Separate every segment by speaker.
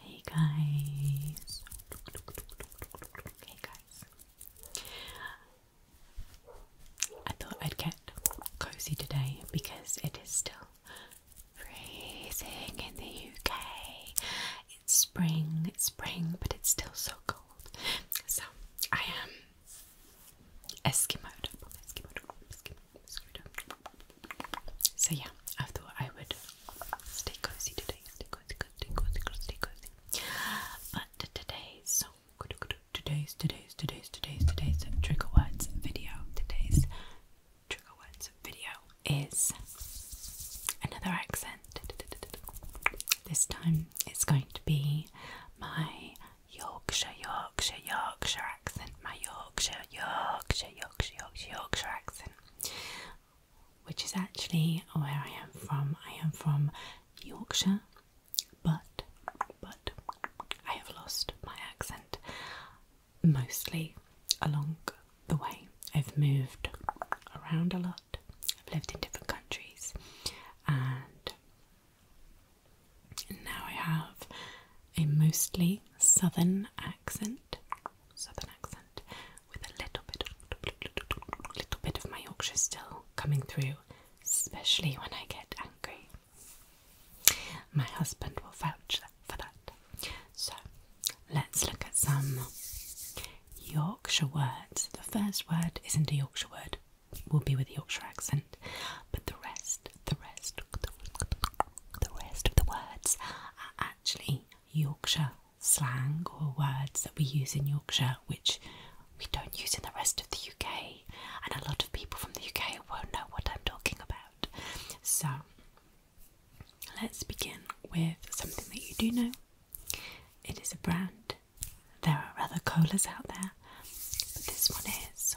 Speaker 1: Hey guys. Hey guys. I thought I'd get cozy today because it is still freezing in the UK. It's spring, it's spring, but it's still so cold. So I am Eskimoed. So yeah, I thought I would stay cozy today, stay cozy, stay cozy, stay cozy. But today's song, today's, today's, today's, today's, today's trigger words video, today's trigger words video is another accent. This time it's going to be my Yorkshire, Yorkshire, Yorkshire accent, my Yorkshire, Yorkshire, Yorkshire, Yorkshire, Yorkshire accent which is actually where I am from. I am from Yorkshire, but but I have lost my accent mostly along the way. I've moved around a lot. I've lived in different countries, and now I have a mostly southern accent southern accent with a little bit of little bit of my Yorkshire still coming through, especially when I get angry. My husband will vouch for that. So let's look at some Yorkshire words. The first word isn't a Yorkshire word, we will be with the Yorkshire accent, but the rest, the rest, the rest of the words actually Yorkshire slang or words that we use in Yorkshire which we don't use in the rest of the UK, and a lot of people from the UK won't know what I'm talking about. So, let's begin with something that you do know. It is a brand. There are other colas out there, but this one is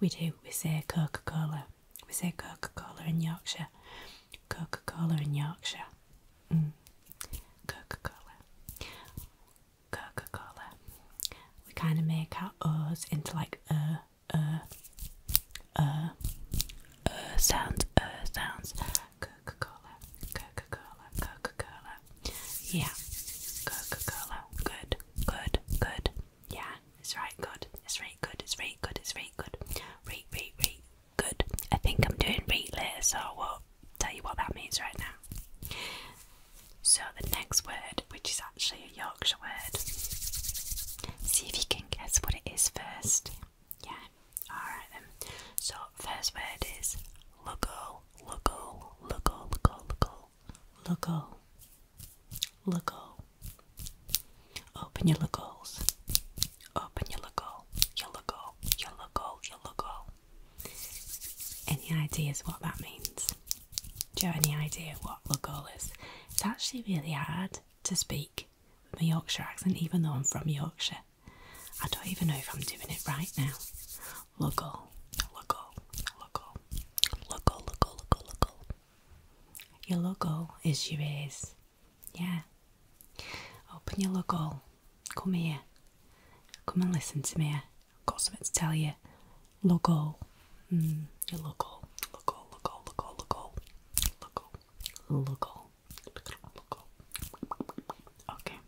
Speaker 1: We do. We say Coca Cola. We say Coca Cola in Yorkshire. Coca Cola in Yorkshire. Mm. Coca Cola. Coca Cola. We kind of make our O's into like er, er, er, er sounds, er sounds. Coca Cola, Coca Cola, Coca Cola. Yeah, Coca Cola. Good good, good. Yeah, it's right good. It's right good. It's right good. It's right good. Right, right, right. Good. I think I'm doing right later, so I will tell you what that means right now. So the next word, which is actually a Yorkshire word. See if you can guess what it is first. Yeah. Alright then. So first word is local, local, local, local, local, local. Look hole. Open your look holes. Open your look Your look Your look Your look Any ideas what that means? Do you have any idea what look hole is? It's actually really hard to speak with my Yorkshire accent, even though I'm from Yorkshire. I don't even know if I'm doing it right now. Loco, loco, loco, loco, loco, loco, loco. Your loco is your ears. Yeah. Open your loco. Come here. Come and listen to me. I've got something to tell you. Loco. Mm, your loco. Loco, loco, loco, loco. Loco. Loco. Loco. Okay.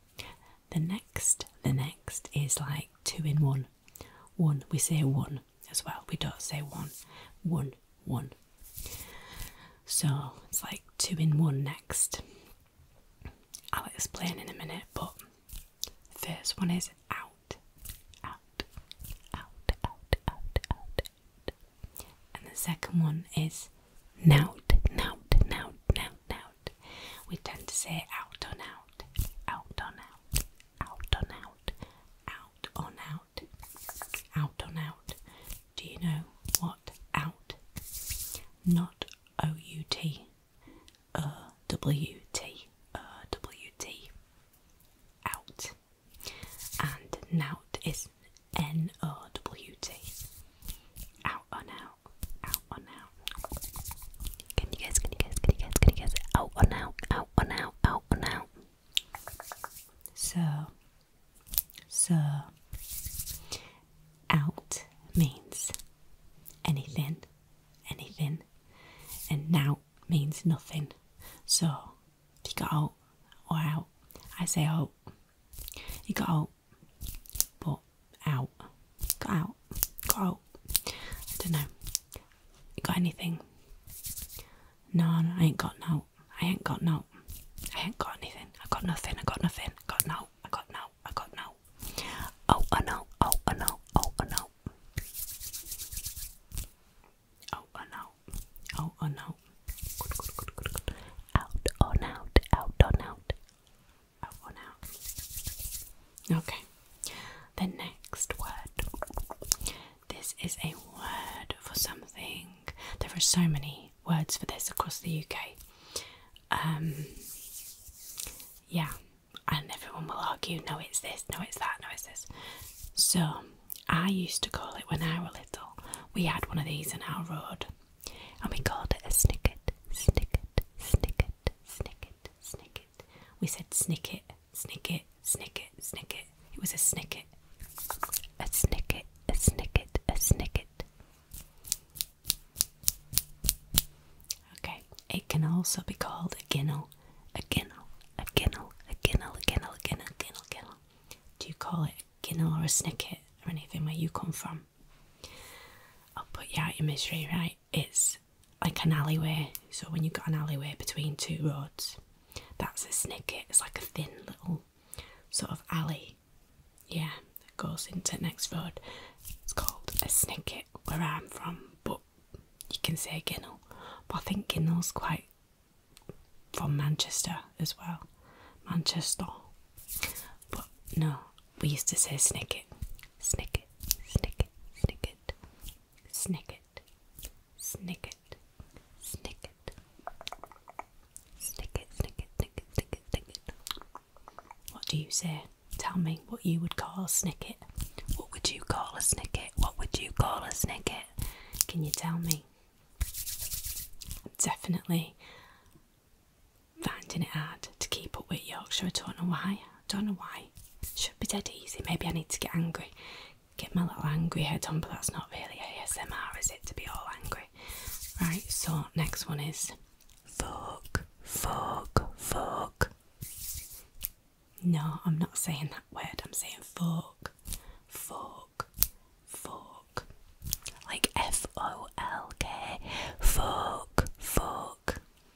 Speaker 1: The next, the next is like two in one. One, we say one as well. We don't say one. One, one. So it's like two in one next. I'll explain in a minute, but the first one is out, out, out, out, out, out, out. And the second one is nout, nout, nout, nout, nout. We tend to say out on out, out on out, out on out, out on out, out on out. Do you know what out? Not O U T, O uh, W T, O uh, W T. out. And nout is N O W T, out on out, out out. Can you guys, can you guys, can you guys, can you guys? Out out, out out, out So, so, out means anything, anything, and now means nothing. So, you got out or out, I say out. You got out, but out, go out, go out well, I don't know. You got anything? No, no I ain't got no. I ain't got no. I ain't got anything. I got nothing. I got nothing. I got no. I got no. I got no. Oh, I know. Oh, I know. Oh, I know. Oh, I know. Oh, I know. Good, good, good, good, good. Out on out. Out on out. Oh, one out. Okay. The next word. This is a word for something. There are so many words for this across the UK. Um, yeah, and everyone will argue no, it's this, no, it's that, no, it's this. So, I used to call it when I were little. We had one of these in our road, and we called it a snicket, snicket, snicket, snicket, snicket, snicket. We said snicket, snicket, snicket, snicket. It was a snicket. A snicket, a snicket, a snicket. Okay, it can also be called a ginnel, a ginnel, a ginnel, a ginnel, a ginnel, a ginnel, a ginnel, ginnel. Do you call it a ginnel or a snicket or anything where you come from? I'll put you out your misery, right? It's like an alleyway. So when you've got an alleyway between two roads, that's a snicket. It's like a thin little sort of alley. Yeah, that goes into next road. It's called a snicket where I'm from, but you can say Ginnell. But I think Ginnell's quite from Manchester as well. Manchester. But no, we used to say snicket, snicket, snicket, snicket, snicket, snicket, snicket, snicket, snicket, snicket, snicket, snicket. What do you say? Tell me what you would call a snicket. What would you call a snicket? What would you call a snicket? Can you tell me? definitely finding it hard to keep up with Yorkshire. I don't know why. I don't know why should be Maybe I need to get angry, get my little angry head on, but that's not really ASMR, is it? To be all angry. Right, so next one is fuck, fuck, fuck. No, I'm not saying that word, I'm saying fuck, fuck, fuck. Like F O L K, fuck, fuck.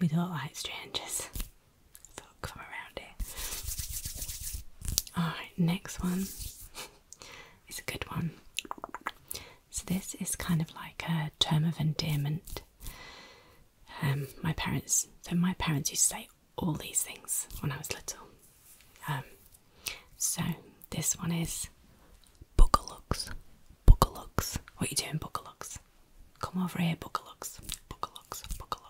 Speaker 1: We don't like strangers. come around here. Alright, next one is a good one. So this is kind of like a term of endearment. Um, my parents, so my parents used to say all these things when I was little. Um, so this one is Boogalooks, Boogalooks. What are you doing, Boogalooks? Come over here, Boogalooks, Boogalooks, Boogalooks.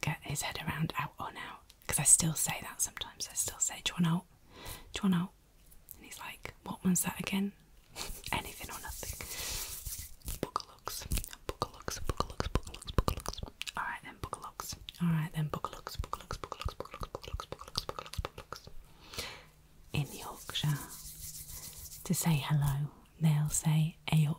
Speaker 1: can't get his head around out on out. Because I still say that sometimes. I still say, do you want out? Do you want out? And he's like, what one's that again? Anything or nothing. Bookalooks. Bookalooks. Bookalooks. Bookalooks. Bookalooks. Alright then, bookalooks. Alright then, bookalooks. Bookalooks. Bookalooks. Bookalooks. Bookalooks. Bookalooks. Bookalooks. Bookalooks. In Yorkshire, to say hello, they'll say Ayok.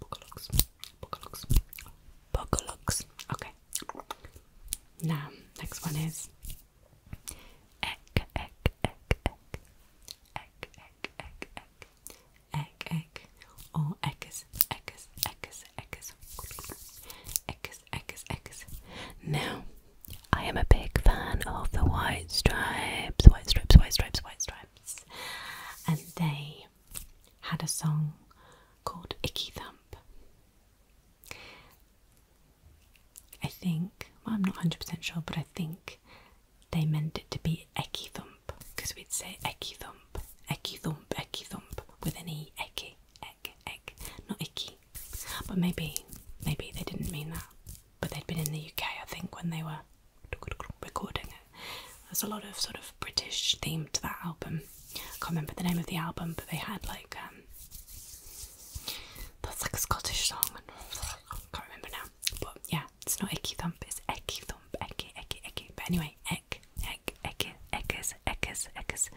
Speaker 1: Bookalux. Bookalux. Bookalux. Okay. Now, next one is egg, egg, egg, egg, egg, egg, egg, egg, egg, egg, or eggs, eggs, eggs, eggs, eggs, eggs, eggs. Now, I am a big fan of the white stripes, white stripes, white stripes, white stripes, and they had a song called Icky Thump. I think, I'm not 100% sure, but I think they meant it to be Ecky Thump because we'd say Ecky Thump, Ecky Thump, Ecky Thump with an E, Ecky, Eck, Eck, not Icky. But maybe, maybe they didn't mean that. But they'd been in the UK, I think, when they were recording it. There's a lot of sort of British theme to that album. I can't remember the name of the album, but they had like um, that's like a Scottish song. I can't remember now, but yeah, it's not Icky Thump, it's Icky Thump, Icky, Icky, Icky. But anyway, Ick, Ick, Icky, Ickers, Ickers, Ickers.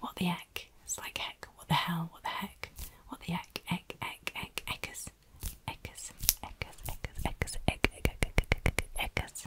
Speaker 1: What the heck? It's like heck. What the hell? What the heck? What the heck? Eck, eck, eck, eckers. Eckers, eckers, eckers, eckers, eck, eck, eck, eckers.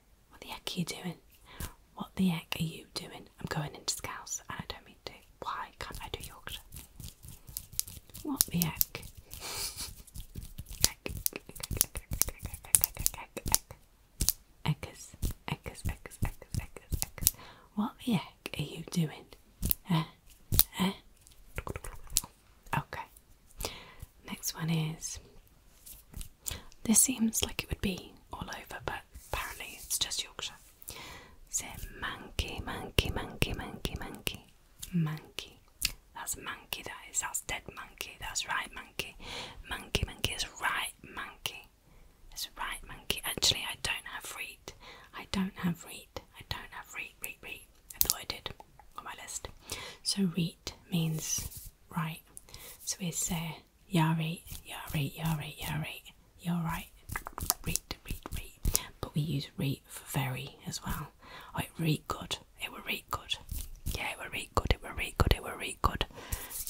Speaker 1: What the heck are you doing? What the heck are you doing? I'm going into Scouse and I don't mean to. Why can't I do Yorkshire? What the heck? Heck, eckers, heck, eckers, eckers, eckers, eckers. What the heck are you doing? Eh? Eh? Okay. Next one is this seems like it would be all over, but apparently it's just Yorkshire. Say monkey, monkey, monkey, monkey, monkey, monkey. That's monkey, that is. That's dead monkey. That's right, monkey. Monkey, monkey is right, monkey. It's right, monkey. Actually, I don't have read. I don't have read. I don't have read, read, read. I thought I did on my list. So read means right. So we say, yari, yari, yari, yari. yeah, right, you're right, right, right, right. But we use right for very as well. Oh, it good, it were right good. Yeah, it were right good, it were right good, it were right good.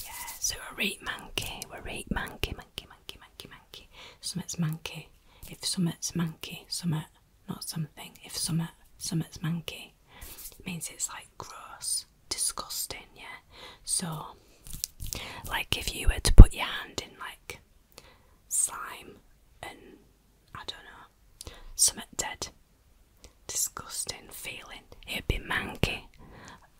Speaker 1: Yeah, so a right monkey, we're right monkey, monkey, monkey, monkey, monkey. Summit's monkey. If summit's monkey, summit, not something. If summit, summit's monkey me. It means it's like gross, disgusting, yeah. So, like if you were to put your hand in like slime and I don't know, something dead, disgusting feeling, it'd be manky.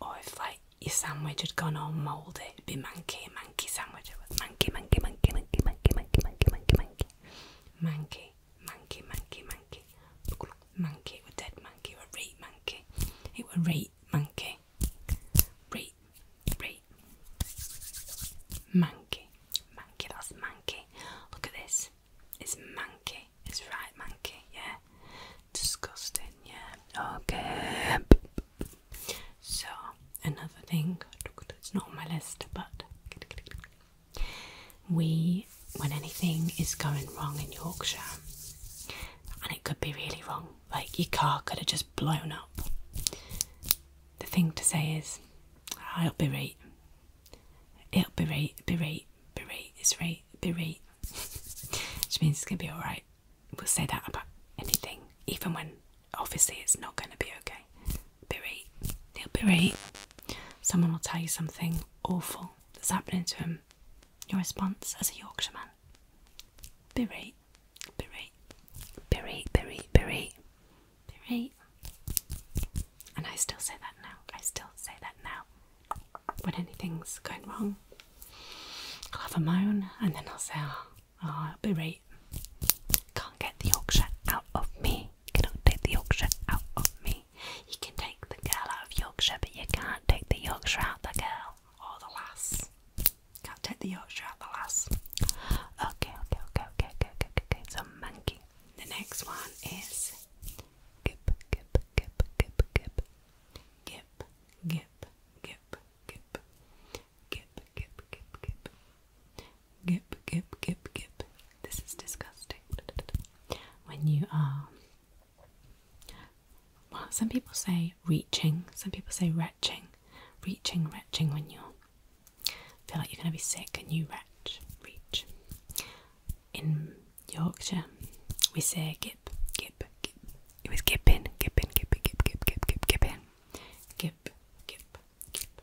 Speaker 1: Or if like your sandwich had gone all mouldy, it'd be manky, manky sandwich. It was manky, manky, manky, manky, manky, manky, manky, manky, manky, manky, manky monkey, monkey, monkey, monkey, monkey, or dead monkey, or a rape monkey. It were rape monkey, rape, rape, monkey, monkey. That's monkey. Look at this. It's monkey. It's right, monkey. Yeah. Disgusting. Yeah. Okay. So another thing. It's not on my list, but we, when anything is going wrong in Yorkshire, and it could be really wrong, like your car could have just blown up, the thing to say is, ah, it will be right. It'll be right, be right, be right, it's right, be right. Which means it's gonna be alright. We'll say that about anything, even when obviously it's not gonna be okay. Be right, it'll be right. Someone will tell you something, awful that's happening to him. Your response as a Yorkshire man? Berate, berate, berate, berate, berate, berate. And I still say that now. I still say that now. When anything's going wrong,
Speaker 2: I'll have a moan and then I'll say, oh,
Speaker 1: ah, oh ah, I'll berate. Can't get the Yorkshire out of me. Cannot take the Yorkshire out of me. You can take the girl out of Yorkshire, but you can't take the Yorkshire out the girl or the lass. Can't take the Yorkshire out the lass. Okay, okay, okay, okay, okay, okay, okay. So monkey. The next one is gip, gip, gip, gip, gip, gip, gip, gip, gip, gip, gip, gip, gip, gip, gip, gip, This is disgusting when you are well some people say reaching some people say retching reaching retching when you feel like you're going to be sick and you retch reach in yorkshire we say gip gip gip it was gipping gipping gipping gip gip gip gip gipping gip gip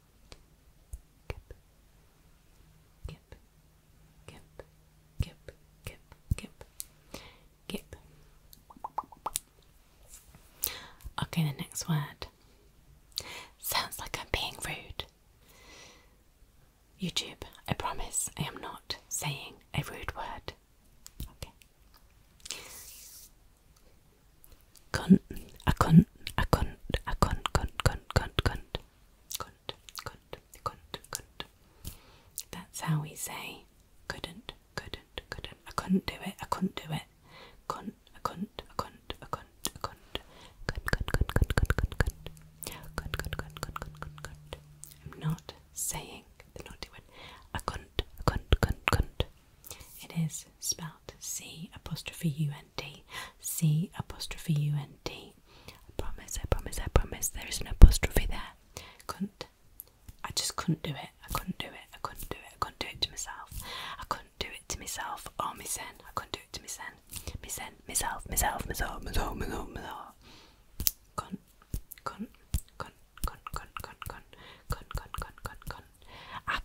Speaker 1: Kip, kip, kip, kip, kip, kip, kip. Okay, the next word. Sounds like I'm being rude. YouTube, I promise I am not saying a rude word. Okay. Cunt, a cunt, a cunt, a cunt, cunt, cunt, cunt, cunt, cunt, cunt, cunt, cunt. That's how we say couldn't, couldn't, couldn't. I couldn't do it, I couldn't do it. Cunt, a cunt, a cunt, a cunt, a cunt. Cunt, cunt, cunt, cunt, cunt, cunt, cunt. Cunt, cunt, cunt, cunt, cunt, cunt, cunt. I'm not saying the naughty word. A cunt, a cunt, cunt, cunt. It is spelled C apostrophe U N T C apostrophe U N T. I promise, I promise, I promise there is an apostrophe there. Couldn't I just couldn't do it. I couldn't do it. I couldn't do it. I couldn't do it to myself. I couldn't do it to myself or oh, mysen. I couldn't do it to mysen. Mysen, myself, myself, myself, myself, myself, myself. Couldn't, couldn't, couldn't, couldn't, couldn't, couldn't, couldn't, couldn't, couldn't, couldn't. I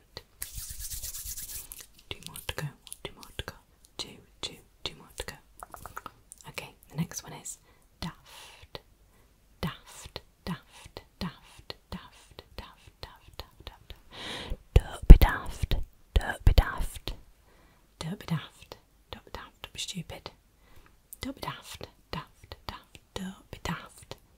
Speaker 1: couldn't. Two more to go, two more to go, two, two, two more to go. Okay, the next one is daft, daft, daft, daft, daft, daft, daft, daft, daft. Don't be daft, don't be daft, don't be daft, don't be daft, don't be stupid. Don't be daft, daft, daft, don't be daft,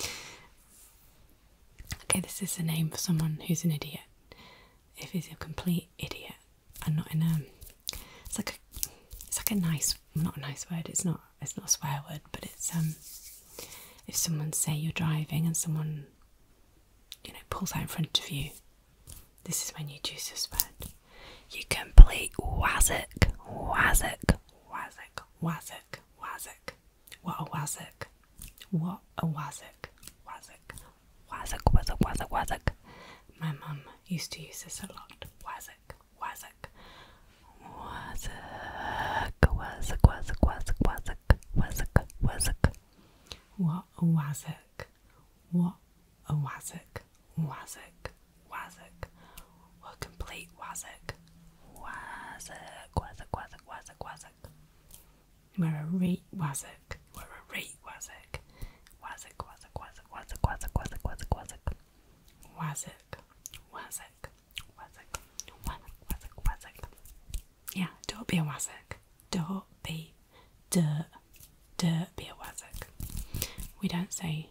Speaker 1: okay, this is a name for someone who's an idiot. If he's a complete idiot and not in a, it's like a, it's like a nice, not a nice word. It's not, it's not a swear word, but it's um, if someone say you're driving and someone, you know, pulls out in front of you, this is when you choose this word. You complete Wazik, Wazik, Wazik, Wazik, Wazik. What a Wazik. What a Wazik, Wazik, Wazik, Wazik, Wazik, Wazik. My mum used to use this a lot. Wazik, Wazik. Wazik, Wazik, Wazik, Wazik, Wazik, Wazik, Wazik. What a Wazik. What a Wazik. Wazik, Wazik, we'll complete Wazik, Wazik, Wazik, Wazik, Wazik, Wazik. We're a re Wazik, we're a re Wazik, Wazik, Wazik, Wazik, Wazik, Wazik, Wazik, Wazik, Wazik, Wazik, Wazik, Wazik, Wazik, Wazik, Wazik. Yeah, don't be a Wazik, don't be, duh, duh, be a Wazik. We don't say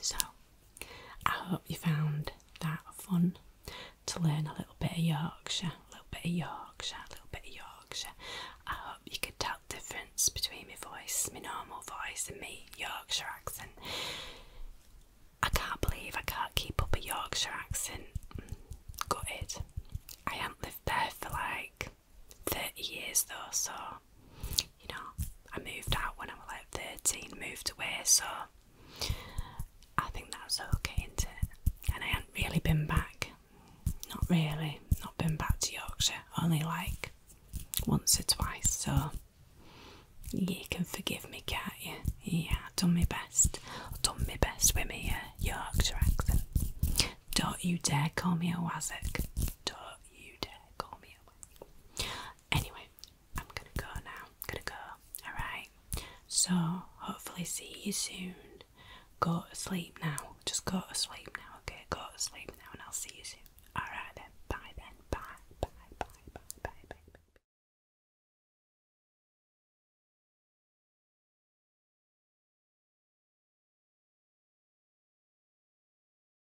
Speaker 1: So, I hope you found that fun to learn a little bit of Yorkshire, a little bit of Yorkshire, a little bit of Yorkshire. I hope you could tell the difference between my voice, my normal voice, and me Yorkshire accent. I can't believe I can't keep up a Yorkshire accent. Gutted. I haven't lived there for like 30 years though, so you know, I moved out when I was like 13, moved away, so I think that was okay, And I hadn't really been back, not really, not been back to Yorkshire, only like once or twice, so you can forgive me, can't Yeah, I've done my best, I've done my best with my uh, Yorkshire accent. Don't you dare call me a Wazzick. Don't you dare call me a Wazzick. Anyway, I'm gonna go now. gonna go. Alright. So hopefully see you soon. Go to sleep now. Just go to sleep now, okay? Go to sleep now and I'll see you soon. Alright then. Bye then. Bye. Bye. Bye. Bye. Bye. Bye. Bye.